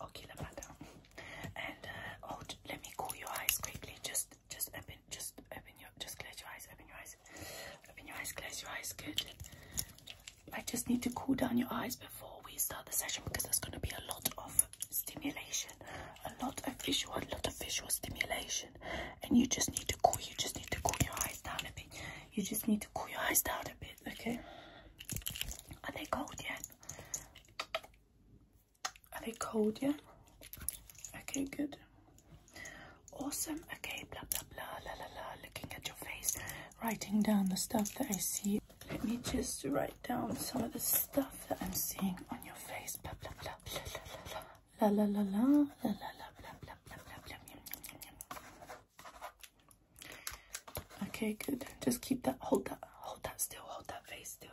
Okay, Lamada. And uh, oh, let me cool your eyes quickly. Just, just open, just open your, just close your eyes. Open your eyes. Open your eyes. Close your eyes. Good. I just need to cool down your eyes before we start the session because there's going to be a lot of stimulation, a lot of visual, a lot of visual stimulation, and you just need to cool. You just need to cool your eyes down a bit. You just need to cool your eyes down a bit. Okay. Are they cold yet? Are they cold? Yeah. Okay, good. Awesome. Okay, blah blah blah la la la. Looking at your face, writing down the stuff that I see. Let me just write down some of the stuff that I'm seeing on your face. Blah blah blah blah la la la la la la la la la blah blah blah blah blah. Okay, good. Just keep that. Hold that. Hold that still. Hold that face still.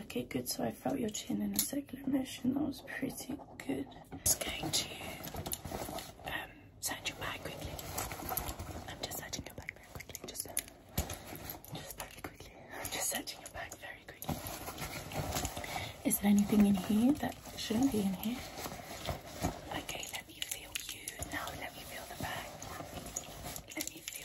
Okay, good. So I felt your chin in a circular motion. That was pretty good. I'm going to um, sand your back quickly. I'm just searching your back very quickly. Just, just very quickly. I'm just searching your back very quickly. Is there anything in here that shouldn't be in here? Okay, let me feel you. Now let me feel the back. Let me feel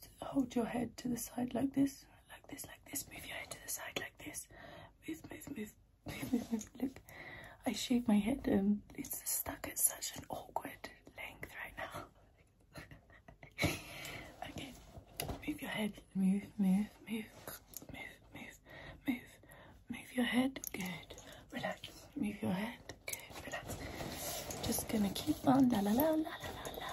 just hold your head to the side like this, like this, like this. Move your head to the side like this. Move, move, move, move, move, move. Look, I shave my head and it's stuck at such an awkward length right now. okay, move your head. Move, move, move, move, move, move. Move your head. Good. Relax. Move your head. Good. Relax. Just gonna keep on la la la la la la la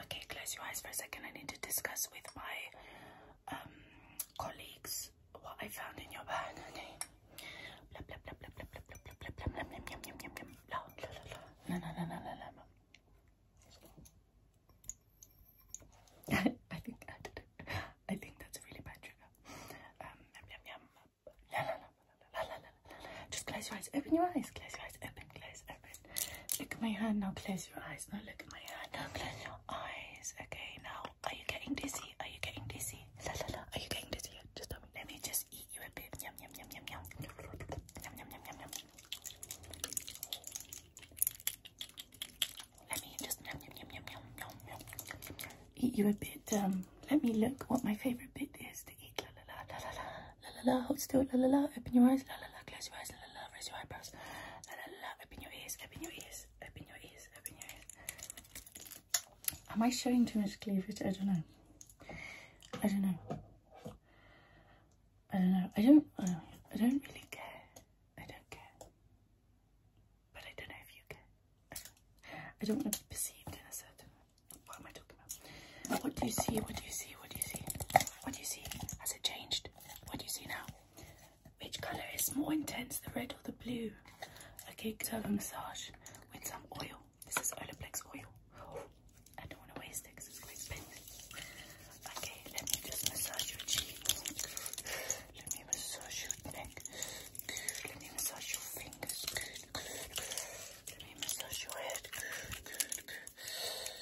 Okay, close your eyes for a second. I need to discuss with my colleagues what I found in your bag. I think I think that's a really bad trigger. Just close your eyes. Open your eyes. Close your eyes. Open. Close. Open. Look at my hand now. Close your eyes. Now look at my hand. Now close your eyes. Okay. Now, are you getting dizzy? Are you getting dizzy? Are you getting dizzy? Just tell me. Let me just eat you a bit. Yum yum yum yum yum. Yum yum yum yum yum. Let me just yum yum yum yum yum yum. Eat you a bit. Um let me look what my favorite bit is to La la la, la la la, la la la, hold still, la la la, open your eyes, la la la, close your eyes, la la la, raise your eyebrows, la la la, open your ears, open your ears, open your ears, open your ears. Am I showing too much cleavage? I don't know. I don't know. I don't know. I don't, uh, I don't really care. I don't care. But I don't know if you care. I don't want to be perceived as a, what am I talking about? What do you see? What do you see? What do you see? What do you see? Has it changed? What do you see now? Which colour is more intense, the red or the blue? Okay, could have a massage with some oil. This is Black's oil. I don't want to waste it because it's quite expensive. Okay, let me just massage your cheeks. Let me massage your neck. Let me massage your fingers. Give me a massage your head. Good, good, good.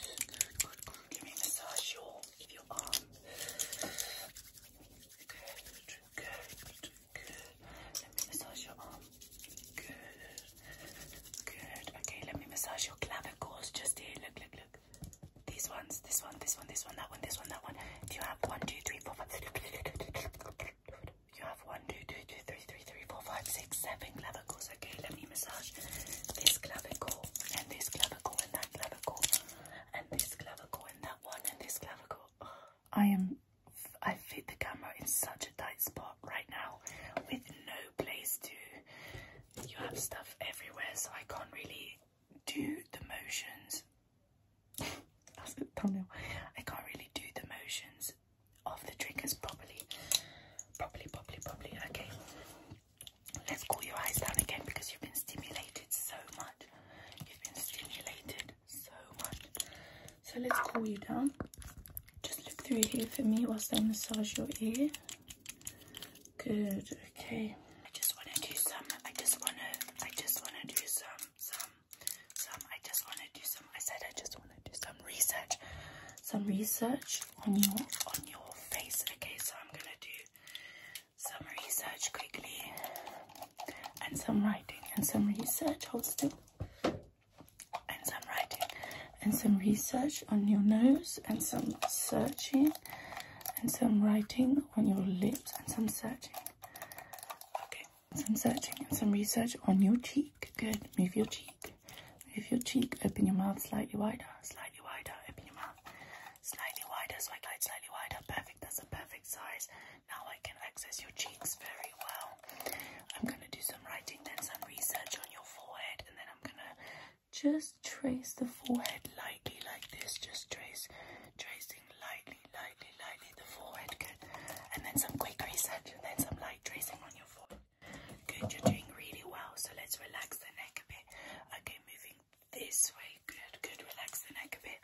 Good, good, good. Give me a massage your, your arm. Good, good, good. Let me massage your arm. Good, good. Okay, let me massage your clavicles just here. Look, look, look. These ones, this one, this one, this one, that one, this one, that one. Do you have one, two, three, four, five? You have one, two, two, two, three, three, three, four, five, six, seven clavicles. Okay, let me massage this clavicle and this clavicle and that clavicle and this clavicle and that one and this clavicle. I am. I fit the camera in such a tight spot right now, with no place to. You have stuff everywhere, so I can't really do the motions that's the thumbnail. I can't really do the motions of the triggers properly. Properly, properly, properly. Okay. Let's cool your eyes down again because you've been stimulated so much. You've been stimulated so much. So let's cool you down. Just look through here for me whilst I massage your ear. Good, okay. I just wanna do some I just wanna I just wanna do some some some I just want to do some I said I just want to do some research some research on your on your face okay so I'm gonna do some research quickly and some writing and some research hold still and some writing and some research on your nose and some searching and some writing on your lips and some searching okay some searching and some research on your cheek. Good. Move your cheek. Move your cheek. Open your mouth slightly wider. Slightly wider. Open your mouth. Slightly wider. So slightly wider. Perfect. That's a perfect size. Now I can access your cheeks very well. I'm going to do some writing, then some research on your forehead, and then I'm going to just trace the forehead lightly like this. Just trace, tracing lightly lightly, lightly, the forehead. Good. And then some quick reset. and then some light tracing on your forehead. Good, you're doing really well. So let's relax the neck a bit. Okay, moving this way. Good, good. Relax the neck a bit.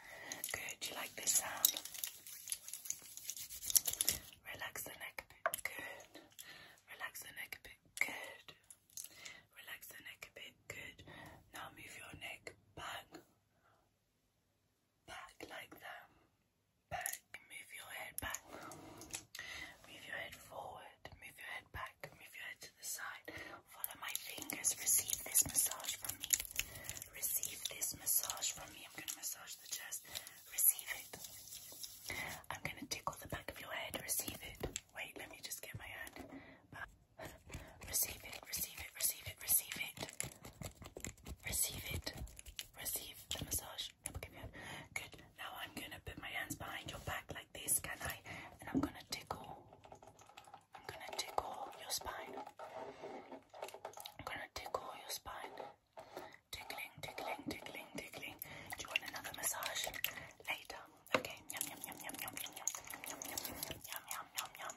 Good. Do you like this sound? Relax the neck a bit. Good. Relax the neck a bit. Good. Relax the neck a bit. Good. Now move your neck back back like that. Back, move your head back. Move your head forward, move your head back, move your head to the side. Follow my fingers, receive this massage from me. Receive this massage from me. I'm going to massage the chest. Receive it. I'm going to tickle the back of your head. Receive it. Wait, let me just get my hand. Receive it, receive it, receive it, receive it. Receive it. Receive the massage. Good. Now I'm gonna put my hands behind your back like this, can I? And I'm gonna tickle. I'm gonna tickle your spine. I'm gonna tickle your spine. Tickling, tickling, tickling, tickling. Do you want another massage? Later. Okay. Yum yum yum yum yum yum yum yum yum yum yum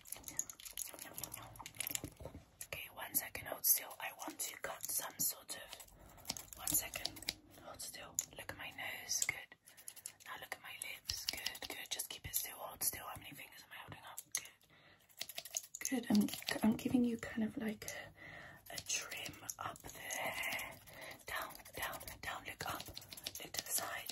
Okay, one second, hold still. I want to cut some sort of. One second, hold still. Look at my nose, good. Now look at my lips, good, good. Just keep it still, hold still. How many fingers am I holding up? Good. Good. I'm, I'm giving you kind of like a, a trim up there. Down, down, down. Look up, look to the side.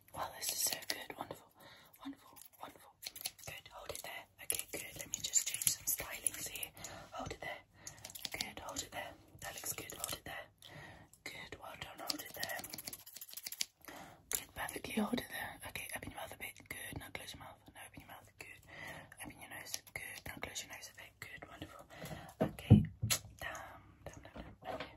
Wow, this is so good. Wonderful, wonderful, wonderful. Good, hold it there. Okay, good. Let me just change some stylings here. Hold it there. Good, hold it there. That looks good. Hold it there. Good, well done. Hold it there. Good, perfectly. Hold it there. Okay, open your mouth a bit. Good, now close your mouth. Now open your mouth. Good. Open your nose. Good, now close your nose a Good, wonderful. Okay, down, down,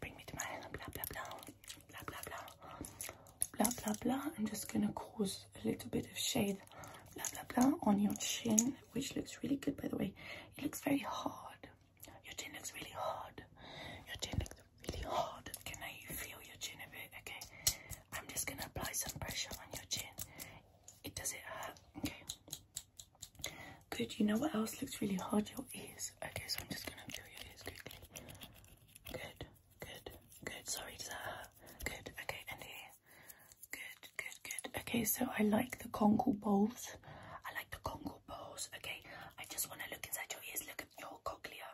bring me to my blah blah blah blah blah blah blah blah blah. I'm just gonna cause a little bit of shade blah blah blah on your chin, which looks really good by the way. It looks very hard. Your chin looks really hard. Your chin looks really hard. Can I feel your chin a bit? Okay. I'm just gonna apply some pressure on your chin. It does it hurt? Okay. Good, you know what else looks really hard? Your ears. Okay, so I'm just gonna feel your ears quickly. Good, good, good. Sorry, does Good, okay, and here. Good, good, good. Okay, so I like the conkle balls. I like the conkle balls. Okay, I just wanna look inside your ears, look at your cochlea.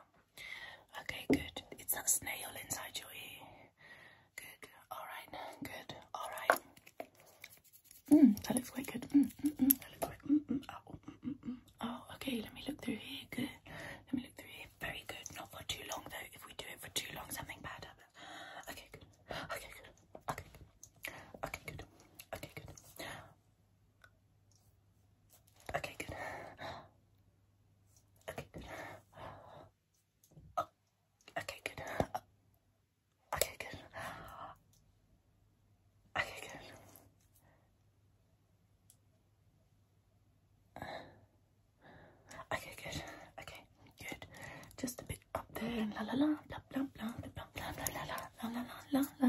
Okay, good. It's a snail inside your ear. Good, alright, good, alright. Mm, that looks quite good. oh, okay, let me look through here. Good. Let me look through here. Very good. Not for too long, though. If we do it for too long, something bad happens. Okay, good. Okay, good. Okay, good. Okay, good. Okay, good. Okay, good. Okay, good. Oh, okay, good. Okay, good. Okay, good. Okay, good. Just a bit up there. La la la, blah blah blah, blah blah blah, la la la la la la la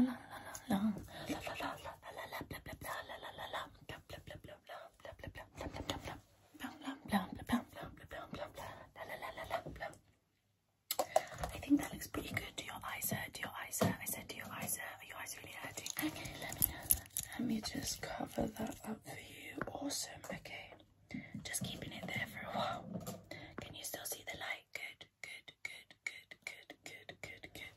la la la la la la. I think that looks pretty good. Do your eyes hurt? Do your eyes hurt? I said, do your eyes hurt? Are your eyes really hurting? Okay, let me let me just cover that up for you. Awesome. Okay, just keeping it there for a while. Can you still see the light? Good, good, good, good, good, good, good,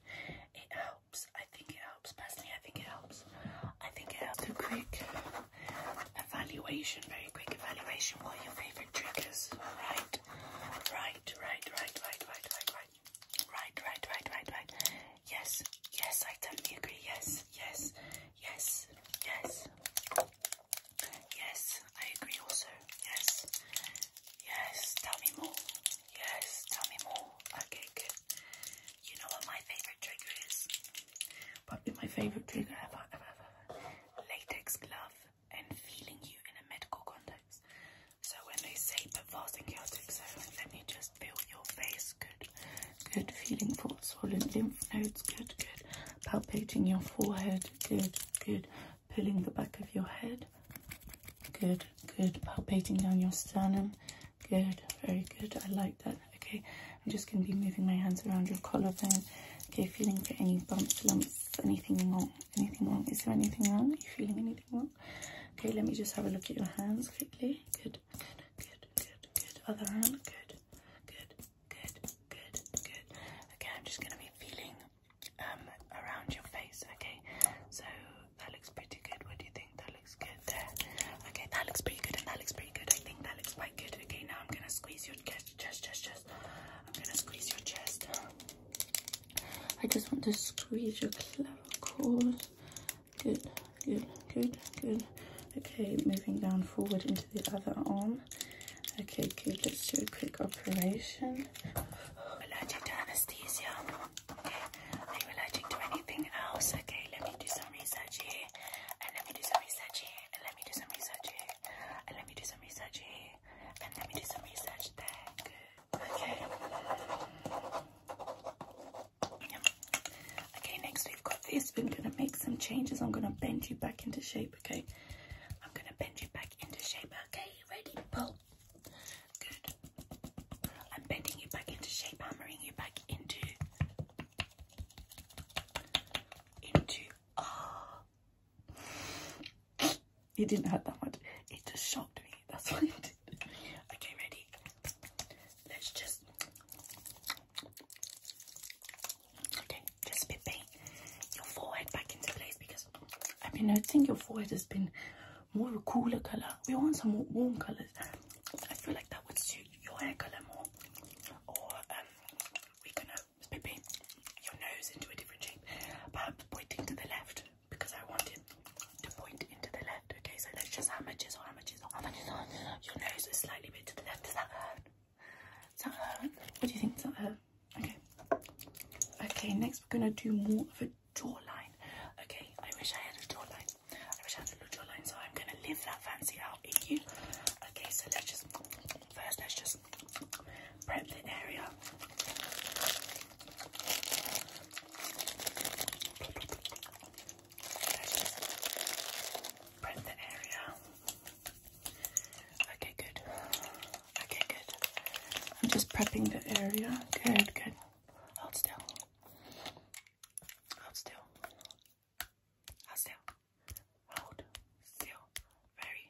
It helps. I think it helps. Personally, I think it helps. I think it helps. A quick evaluation, very quick evaluation. What your favorite? perfect triggers. Right, right, right, right, right, right, right, right, right, right, right, right, right. Yes, yes, I totally agree. Yes, yes, yes, yes, yes. I agree also. Yes, yes. Tell me more. Yes, tell me more. Okay, good. You know what my favorite trigger is? Probably my favorite trigger ever, ever, ever. Latex glove and feeling you in a medical context. So when they say put fasting chaotic, so let me just feel your face. Good, good. Feeling for swollen lymph nodes. Good, good. Palpating your forehead. Good, good. Pulling the back of your head. Good, good. Palpating down your sternum. Good, very good. I like that. Okay, I'm just going to be moving my hands around your collarbone. Okay, feeling for any bumps, lumps, is anything wrong? Anything wrong? Is there anything wrong? Are you feeling anything wrong? Okay, let me just have a look at your hands quickly. Good, good, good, good, good. Other hand. Good, good, good, good, good. Okay, I'm just gonna be feeling um around your face. Okay, so that looks pretty good. What do you think? That looks good there. Okay, that looks pretty good, and that looks pretty good. I think that looks quite good. Okay, now I'm gonna squeeze your chest, chest, chest, chest. I'm gonna squeeze your chest. I just want to squeeze your clever Good, good, good, good. Okay, moving down forward into the other arm. Okay, good. Let's do a quick operation. Allergic to anesthesia. Okay, allergic to anything else? Okay, let me do some research here. And uh, let me do some research here. And uh, let me do some research here. And uh, let me do some research here let me do some research. Okay. Okay, next we've got this. We're gonna make some changes. I'm gonna bend you back into shape, okay? I'm gonna bend you back into shape, okay? Ready? Pull. Good. I'm bending you back into shape, hammering you back into into ah, it didn't hurt that much. It just shocked me. That's what it did. Okay, ready? Let's just... Okay, just bit your forehead back into place because I've been noticing your forehead has been more of a cooler colour. We want some more warm colours. I feel like that would suit your hair colour more. Or um, we can going Spippy your nose into a different shape, but pointing to the left because I want it to point into the left. Okay, so let's just hammer chisel, hammer chisel, hammer chisel. Your nose is slightly bit to the left. Does that hurt? Does that hurt? What do you think? Is that hurt? Okay. Okay, next we're gonna do more of a jawline. Okay, I wish I had a jawline. I wish I had a little jawline, so I'm gonna live that fancy out in you. Okay, so let's just First, let's just prep the area. prep the area. Okay, good. Okay, good. I'm just prepping the area. Good, good. Hold still. Hold still. Hold still. Hold still. Very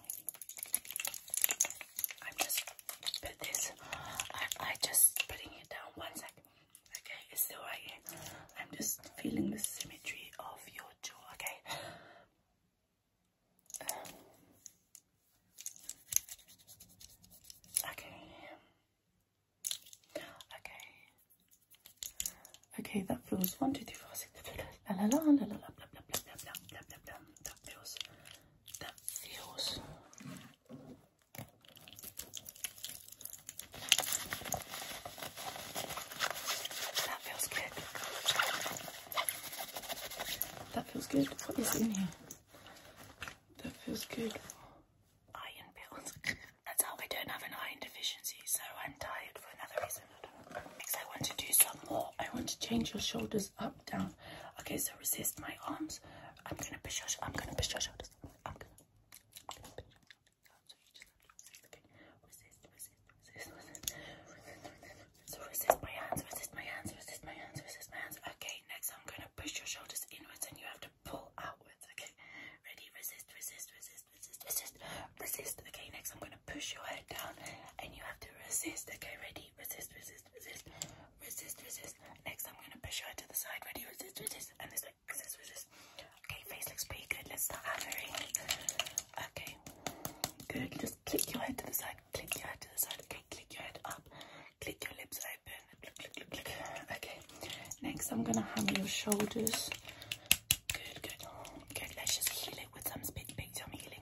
know. I'm just put this. I I just putting it down one second. Okay, it's still right here. I'm just feeling the symmetry of your jaw. Okay. Um, okay. Okay. Okay, that feels one, two, three, four, six, la la la la la la blah blah blah blah blah blah blah blah. That feels that feels that feels good. That feels good. What is in here? That feels good. Iron pills. That's how we don't have an iron deficiency, so I'm tired for another reason. Because I want to do some more. I want to change your shoulders up down. Okay, so resist my arms. I'm gonna push your I'm gonna push your shoulders. I'm gonna, push your shoulders. So resist, okay? my hands, resist my hands, resist my hands, resist my hands. Okay, next I'm gonna push your shoulders inwards and you have to pull outwards, okay? Ready, resist, resist, resist, resist, resist, resist. Okay, next I'm gonna push your head down and you have to resist, okay? Ready? resist, resist, resist, resist, resist. Next, I'm gonna push her to the side, ready, resist, resist, and this resist, resist. Okay, face looks pretty good. Let's start hammering. Okay, good. Just click your head to the side, click your head to the side. Okay, click your head up, click your lips open. Click, click, click, click. Okay, next, I'm gonna hammer your shoulders. Good, good, good. Let's just heal it with some big, big tummy healing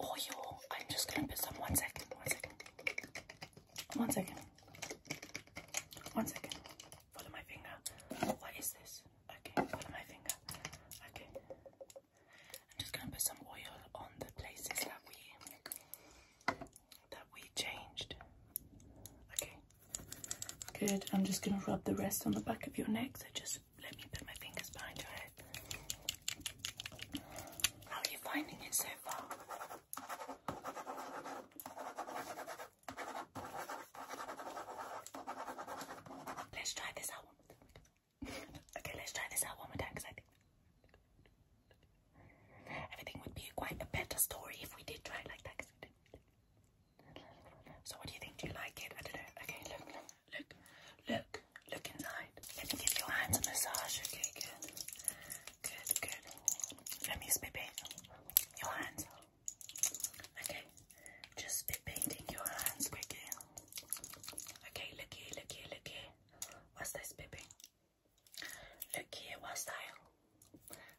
oil. I'm just gonna put some one second, one second, one second, one second. Follow my finger. What is this? Okay, follow my finger. Okay. I'm just gonna put some oil on the places that we that we changed. Okay. Good. I'm just gonna rub the rest on the back of your neck. So just let me put my fingers behind your head. How are you finding it so far? Let's try this out one more time. Okay, let's try this out one more time because I think everything would be quite a better story if we did try it like that. So what do you think? Do you like it? I don't know. Okay, look. Look, look, look inside. Let me give your hands a massage, okay? Good. Good, good. Let me spit paint your hands. Okay, just spit painting your hands quickly. Okay, look here, look here, look here. What's this spit paint? Look here, what's that?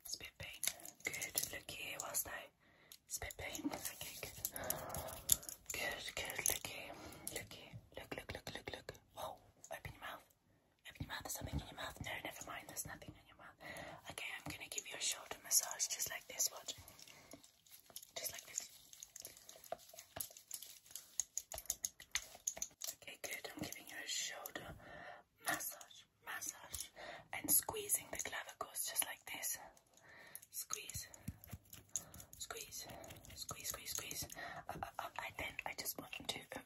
Spit paint. Good, look here, what's that? Spit paint. Okay, good. Good, good. Looky, looky. Look, look, look, look, look. Whoa, open your mouth. Open your mouth. There's something in your mouth. No, never mind. There's nothing in your mouth. Okay, I'm going to give you a shoulder massage just like this. Watch. Just like this. Okay, good. I'm giving you a shoulder massage, massage, and squeezing the clavicles just like this. Squeeze. Squeeze. Squeeze, squeeze, squeeze. Uh, uh, uh, I then I just want to uh, uh,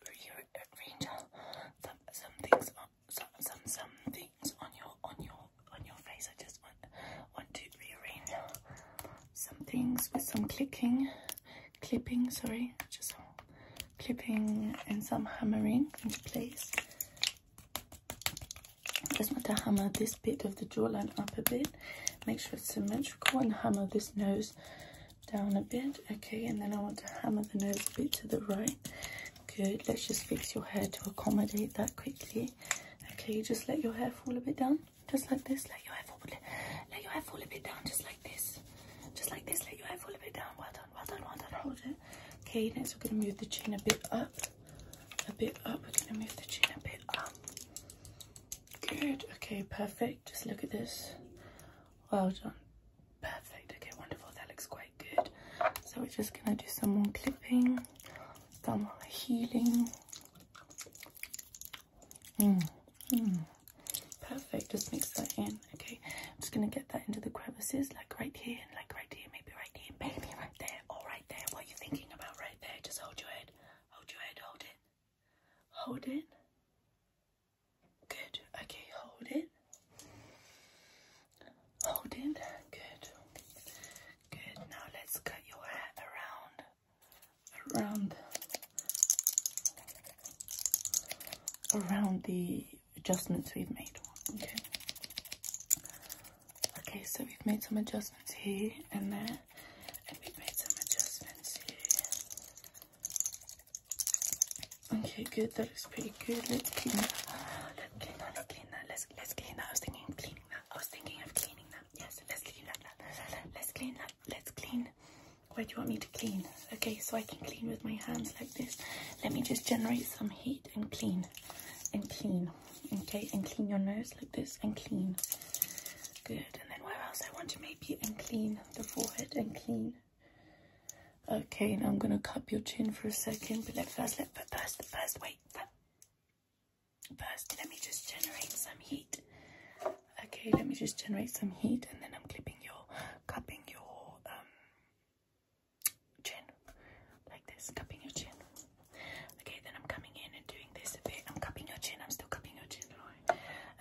rearrange some some things on some some some things on your on your on your face. I just want want to rearrange some things with some clicking, clipping. Sorry, just clipping and some hammering into place just want to hammer this bit of the jawline up a bit make sure it's symmetrical and hammer this nose down a bit okay and then i want to hammer the nose a bit to the right good let's just fix your hair to accommodate that quickly okay just let your hair fall a bit down just like this let your hair fall let your hair fall a bit down just like this just like this let your hair fall a bit down well done well done well done hold it okay next we're going to move the chin a bit up a bit up. We're going to move the chin a bit up. Good. Okay, perfect. Just look at this. Well done. Perfect. Okay, wonderful. That looks quite good. So we're just going to do some more clipping, some more healing. Hmm. Perfect. Just mix that in. Okay, I'm just going to get that into the crevices, like right here and like right here, maybe right here, maybe right there. All right right What you're thinking about right there. Just hold your head. Hold your head. Hold it. Hold it. Good. Okay, hold it. Hold it. Good. Good. Now let's cut your hair around. Around. Around the adjustments we've made. Okay. Okay, so we've made some adjustments here and there, and we've made some adjustments here. Okay, good. That's pretty good. Let's clean that. Let's clean Let's clean that. Let's let's clean I was thinking of cleaning that. I was thinking of cleaning that. Yes, let's clean that. Let's clean that. Let's clean. Where do you want me to clean? Okay, so I can clean with my hands like this. Let me just generate some heat and clean and clean. Okay, and clean your nose like this and clean. Good. And then where else? I want to maybe and clean the forehead and clean. Okay, now I'm gonna cup your chin for a second, but let first let but first first wait. First, let me just generate some heat. Okay, let me just generate some heat and then I'm clipping your cupping your um, chin like this, cupping your chin. Okay, then I'm coming in and doing this a bit. I'm cupping your chin. I'm still cupping your chin, do I?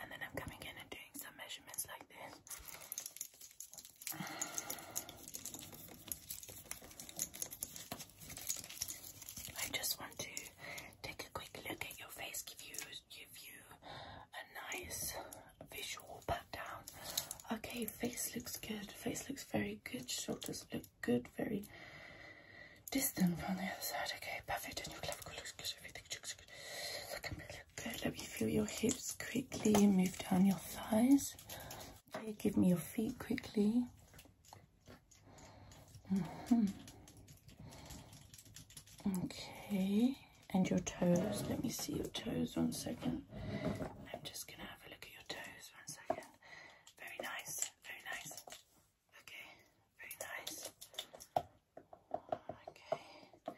And then I'm coming in and doing some measurements like this. I just want to take a quick look at your face, give you give you a nice visual pat Okay, face looks good. Face looks very good. Shoulders look good, very distant from the other side. Okay, perfect. Let me feel your hips quickly. Move down your thighs. Okay, give me your feet quickly. Mm-hmm. Okay, and your toes. Let me see your toes one second. I'm just gonna have a look at your toes one second. Very nice, very nice. Okay, very nice. Okay,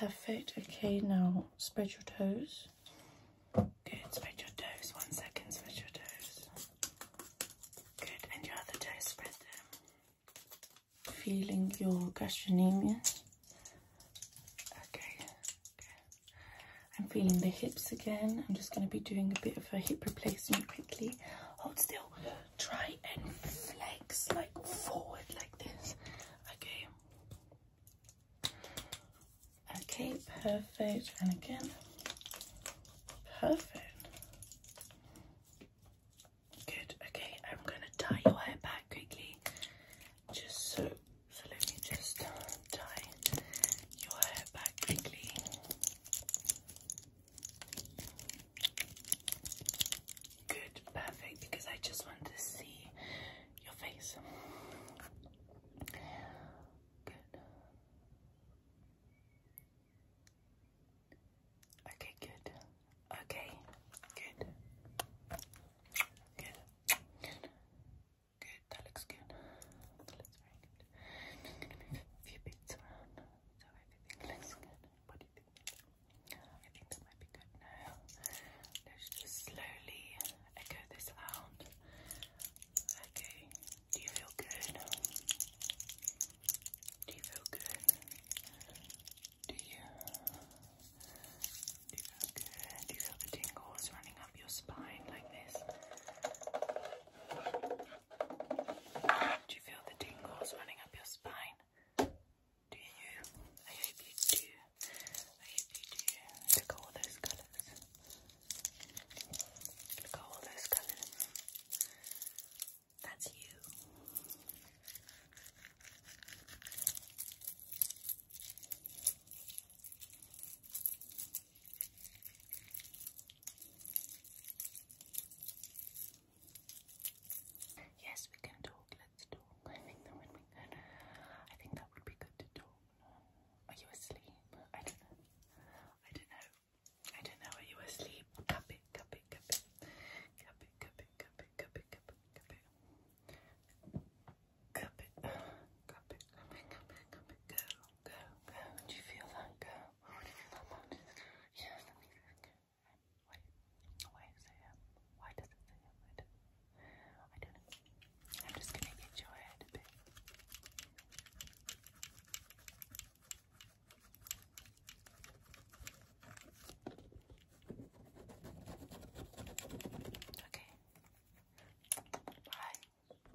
perfect. Okay, now spread your toes. Good, spread your toes. One second, spread your toes. Good, and your other toes, spread them. Feeling your gastrocnemius. okay. I'm feeling the hips again. I'm just going to be doing a bit of a hip replacement quickly. Hold still. Try and flex like forward like this. Okay. Okay, perfect. And again. Perfect. Good. Okay, I'm going to tie your hair back quickly. Just so, so let me just tie your hair back quickly. Good, perfect, because I just want to see your face. Good. Okay, good. Okay, Good. Good. Good, that looks good. That looks very good. a few bits around so everything looks good. I think that might be good now. Let's just slowly echo this out. Okay, do you feel good? Do you feel good? Do you? Do you feel good? Do you feel the tingles running up your spine like this? Do you feel the tingles running up your spine? Do you? I hope you do. I hope you do. Look at all those colours. Look at all those colours. That's you. That's you. Yes, we can talk. Let's talk. I think that would be I think that would be good to talk. Are you asleep? I don't know. I don't know. I don't know. Are you asleep? Cup it, cup it, cup it. Cup it, cup it, cup it, Go, go. Do you feel that? Go. Oh, do you feel that Yes, let why does it Why does it say I I don't I'm just going to get your Okay. Bye.